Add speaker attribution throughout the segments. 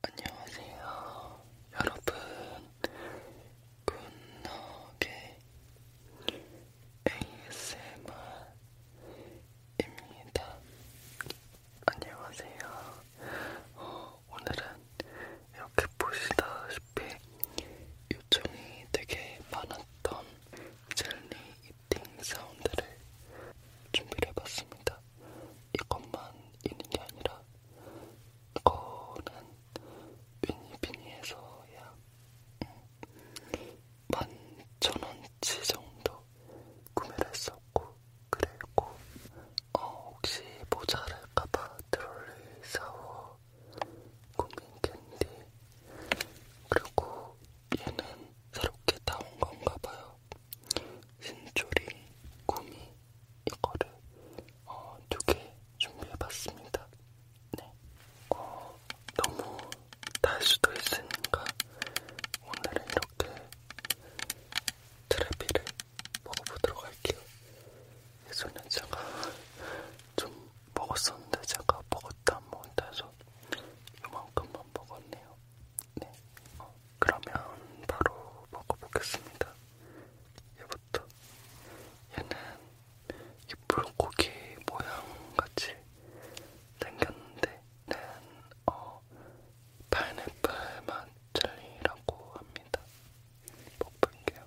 Speaker 1: 안녕하세요 여러분 굿노게 ASMR입니다 안녕하세요 어, 오늘은 이렇게 보시다시피 요청이 되게 많았던 젤리 이팅 사운드를 준비를 해봤습니다 이것만 있는 게 아니라 이거는 위니비니에서야 음, 만천원치 정도 구매를 했었고 그리고 어 혹시 모자랄까봐 트롤리 사워 고민캔디 그리고 얘는 새롭게 나온 건가봐요 신조리, 구미 이거를 어, 두 개 준비해봤습니다. 네, 어, 너무 달 수도 있으니까 오늘은 이렇게 트래비를 먹어보도록 할게요. 예전에 제가 좀 먹었었는데 제가 먹었다 안 먹었다 해서 이만큼만 먹었네요. 네, 어, 그러면 바로 먹어보겠습니다. 얘부터. 얘는 이 불고기 모양같이 생겼는데 얘는 어, 파인애플 맛 젤리라고 합니다. 먹을게요.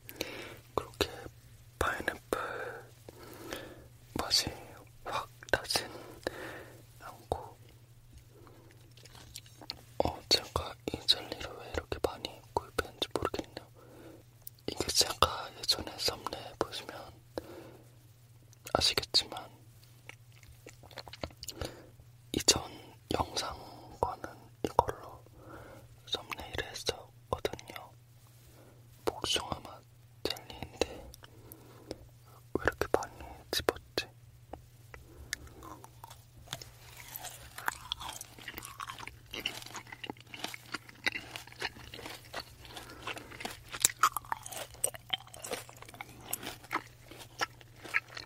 Speaker 1: 그렇게 파인애플 맛이 확 나진 않고 어 제가 이 젤리를 왜 이렇게 많이 구입했는지 모르겠네요. 이게 제가 예전에 썸네일 보시면 아시겠지만 이전 영상과는 이걸로 썸네일을 했었거든요. 복숭아 맛 젤리인데 왜 이렇게 많이 집었지?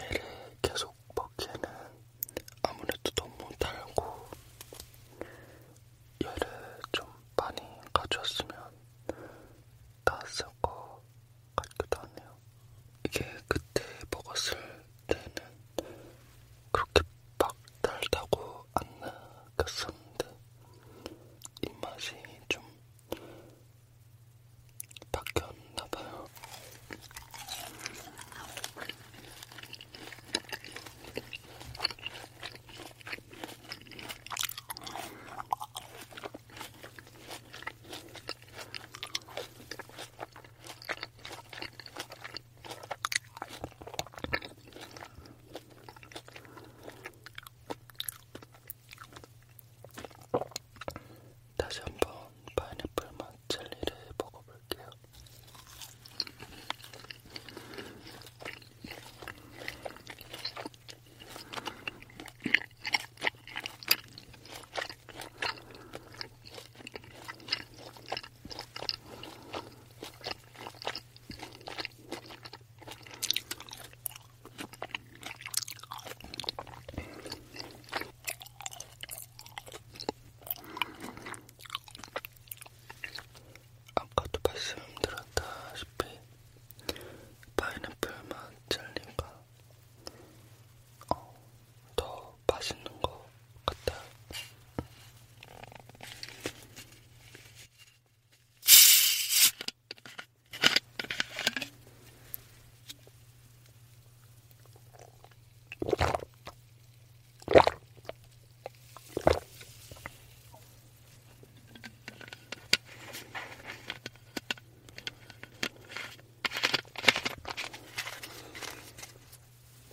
Speaker 1: 얘를 계속 먹기에는 아무래도 너무 달고 얘를 좀 많이 가져왔으면 나았을 것 같기도 하네요. 이게 그때 먹었을 때는 그렇게 막 달다고 안 느꼈었는데 입맛이 좀 바뀌었나봐요. 다시 한번 파인애플 맛 젤리를 먹어볼게요. 아까도 말씀드렸다시피 파인애플 맛 젤리가 어, 더 맛있는 것 같아요.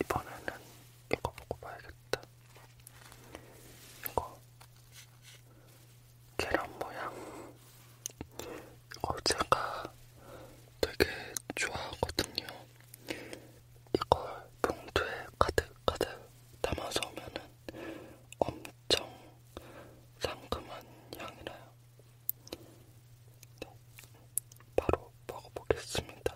Speaker 1: 이번에는 이거 보고 봐야겠다. 이거 계란 모양. 이거 제가 되게 좋아하거든요. 이걸 봉투에 가득가득 담아서 오면은 엄청 상큼한 향이 나요. 네. 바로 먹어보겠습니다.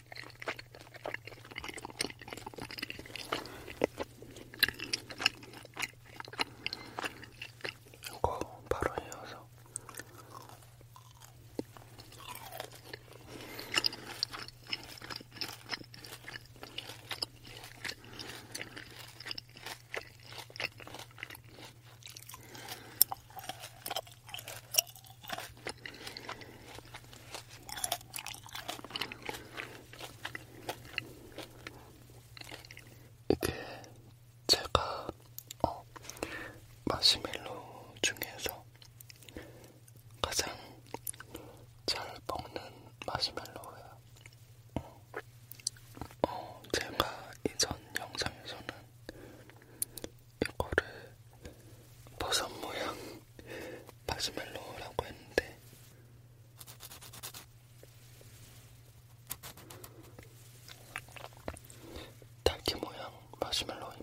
Speaker 1: 이거 바로 이어서 이게 제가 어, 마시멜로 중에서 가장 잘 먹는 마시멜로예요. 어, 제가 이전 영상에서는 이거를 버섯 모양 마시멜로라고 했는데 딸기 모양 마시멜로입니다.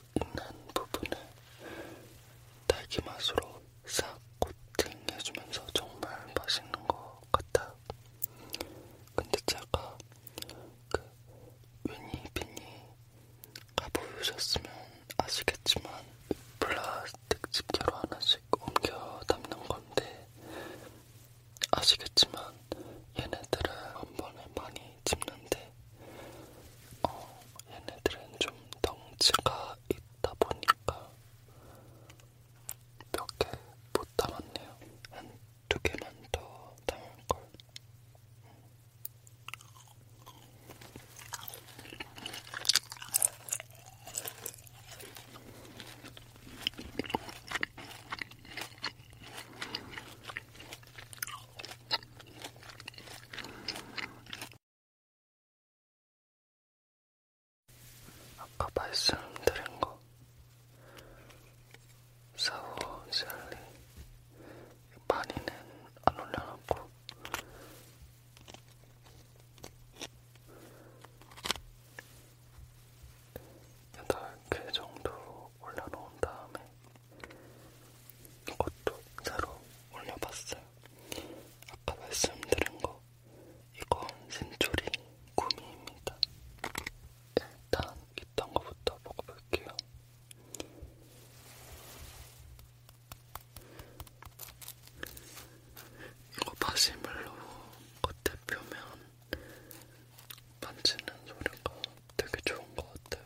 Speaker 1: 있는 부분을 딸기맛으로 싹 코팅해주면서 정말 맛있는 것 같아요. 근데 제가 그 위니비니 가보셨으면 아시겠지만 플라스틱 집게로 하나씩 옮겨 담는 건데 아시겠지만 얘네들은 한 번에 많이 집는데 어, 얘네들은 좀 덩치가 있다 보니까 몇 개 못 담았네요. 한 두 개만 더 담을걸. 아까 말씀드린 거 사워 젤리 많이는 안 올려놨고 여덟 개 정도 올려놓은 다음에 이것도 새로 올려봤어요. 아까 말씀드린 거 이건 센초리 구미입니다. 일단 이딴 거부터 먹어볼게요. 이거 바시멜로 겉에 표면 만지는 소리가 되게 좋은 것 같아요.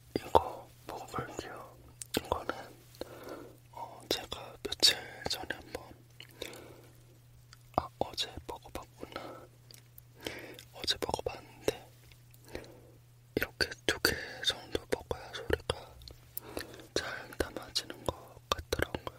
Speaker 1: 이거 먹어볼게요. 이거는 어, 제가 며칠 전에 한번 아 어제 먹어봤구나. 어제 먹어봤는데 이렇게 두 개 정도 먹어야 소리가 잘 담아지는 것 같더라고요.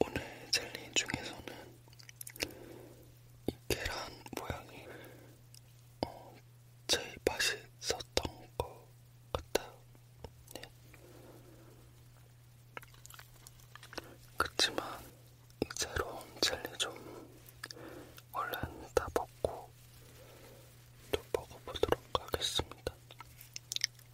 Speaker 1: 오늘 젤리 중에서는 이 계란 모양이 어, 제일 맛있었던 것 같아요. 네. 그치만 이 새로운 젤리 좀 얼른 다 먹고 또 먹어보도록 하겠습니다.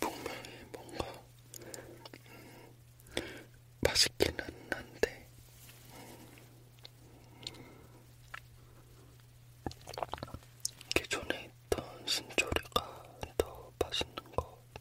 Speaker 1: 분명히 뭔가 음, 맛있기는 한데 기존에 있던 신조리가 더 맛있는 것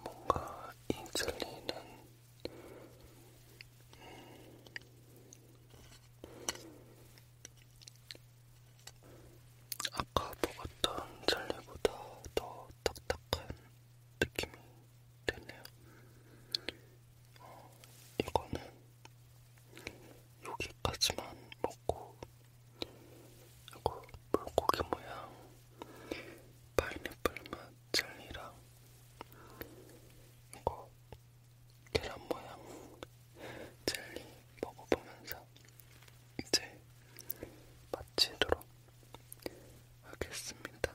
Speaker 1: 뭔가 이 젤리는 아까 먹었던 젤리보다 더 딱딱한 느낌이 되네요. 어, 이거는 여기까지만 먹고, 이거 물고기 모양 파인애플만 젤리랑 이거 계란 모양 젤리 먹어보면서 이제 마치도록 하겠습니다.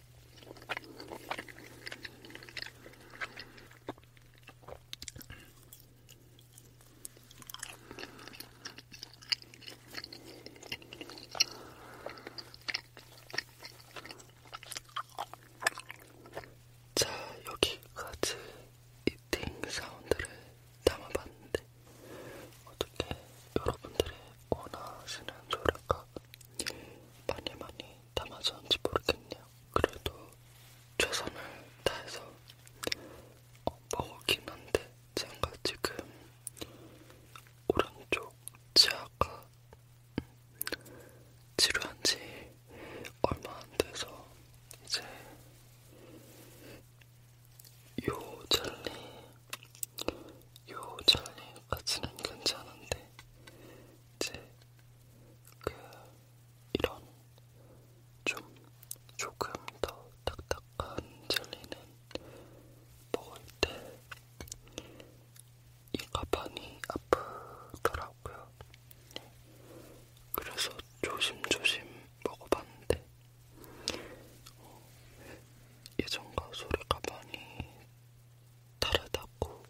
Speaker 1: 자, 여기까지 이팅 사운드를 담아봤는데 어떻게 여러분들이 원하시는 노래가 많이 많이 담아서는지 모르겠네요. 그래도 최선을 다해서 어, 먹었긴 한데 제가 지금 오른쪽 치아가 치료한지 얼마 안 돼서 이제 요 젤리 요 젤리까지는 괜찮은데 이제 그 이런 좀 조금 더 딱딱한 젤리는 먹을 때이 가방이 아프더라고요. 그래서 조심조심 먹어봤는데 어, 예전과 소리가 많이 다르다고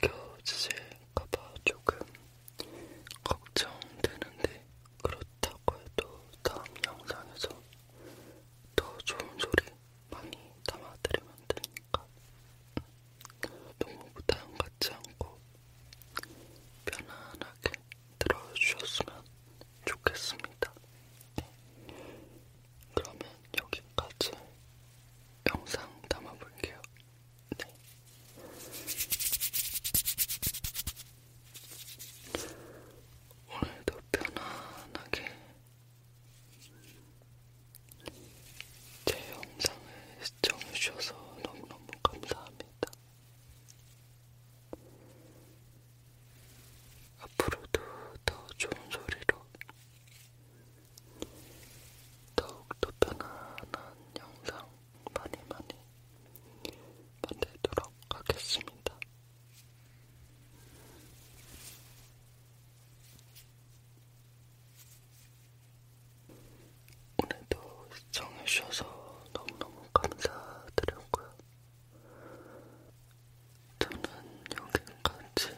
Speaker 1: 느껴지실까봐 조금 걱정되는데 그렇다고 해도 다음 영상에서 더 좋은 소리 많이 담아드리면 되니까 너무 부담 갖지 않고 편안하게 들어주셨으면 좋겠습니다. 그러면 여기까지 영상 담아볼게요. 네. 오늘도 편안하게 제 영상을 시청해주셔서 너무너무 감사합니다. 앞으로도 더 좋은 소리로 더욱더 편안한 영상 많이 많이 만들도록 하겠습니다. 오늘도 시청해주셔서 너무너무 감사드렸고요. 저는 여기까지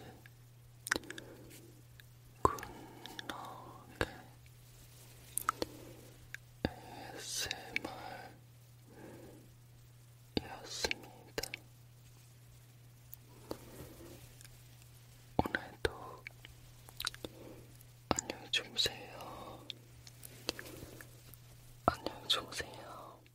Speaker 1: 굿나게 ASMR이었습니다. 오늘도 안녕히 주무세요. 안녕히 주무세요.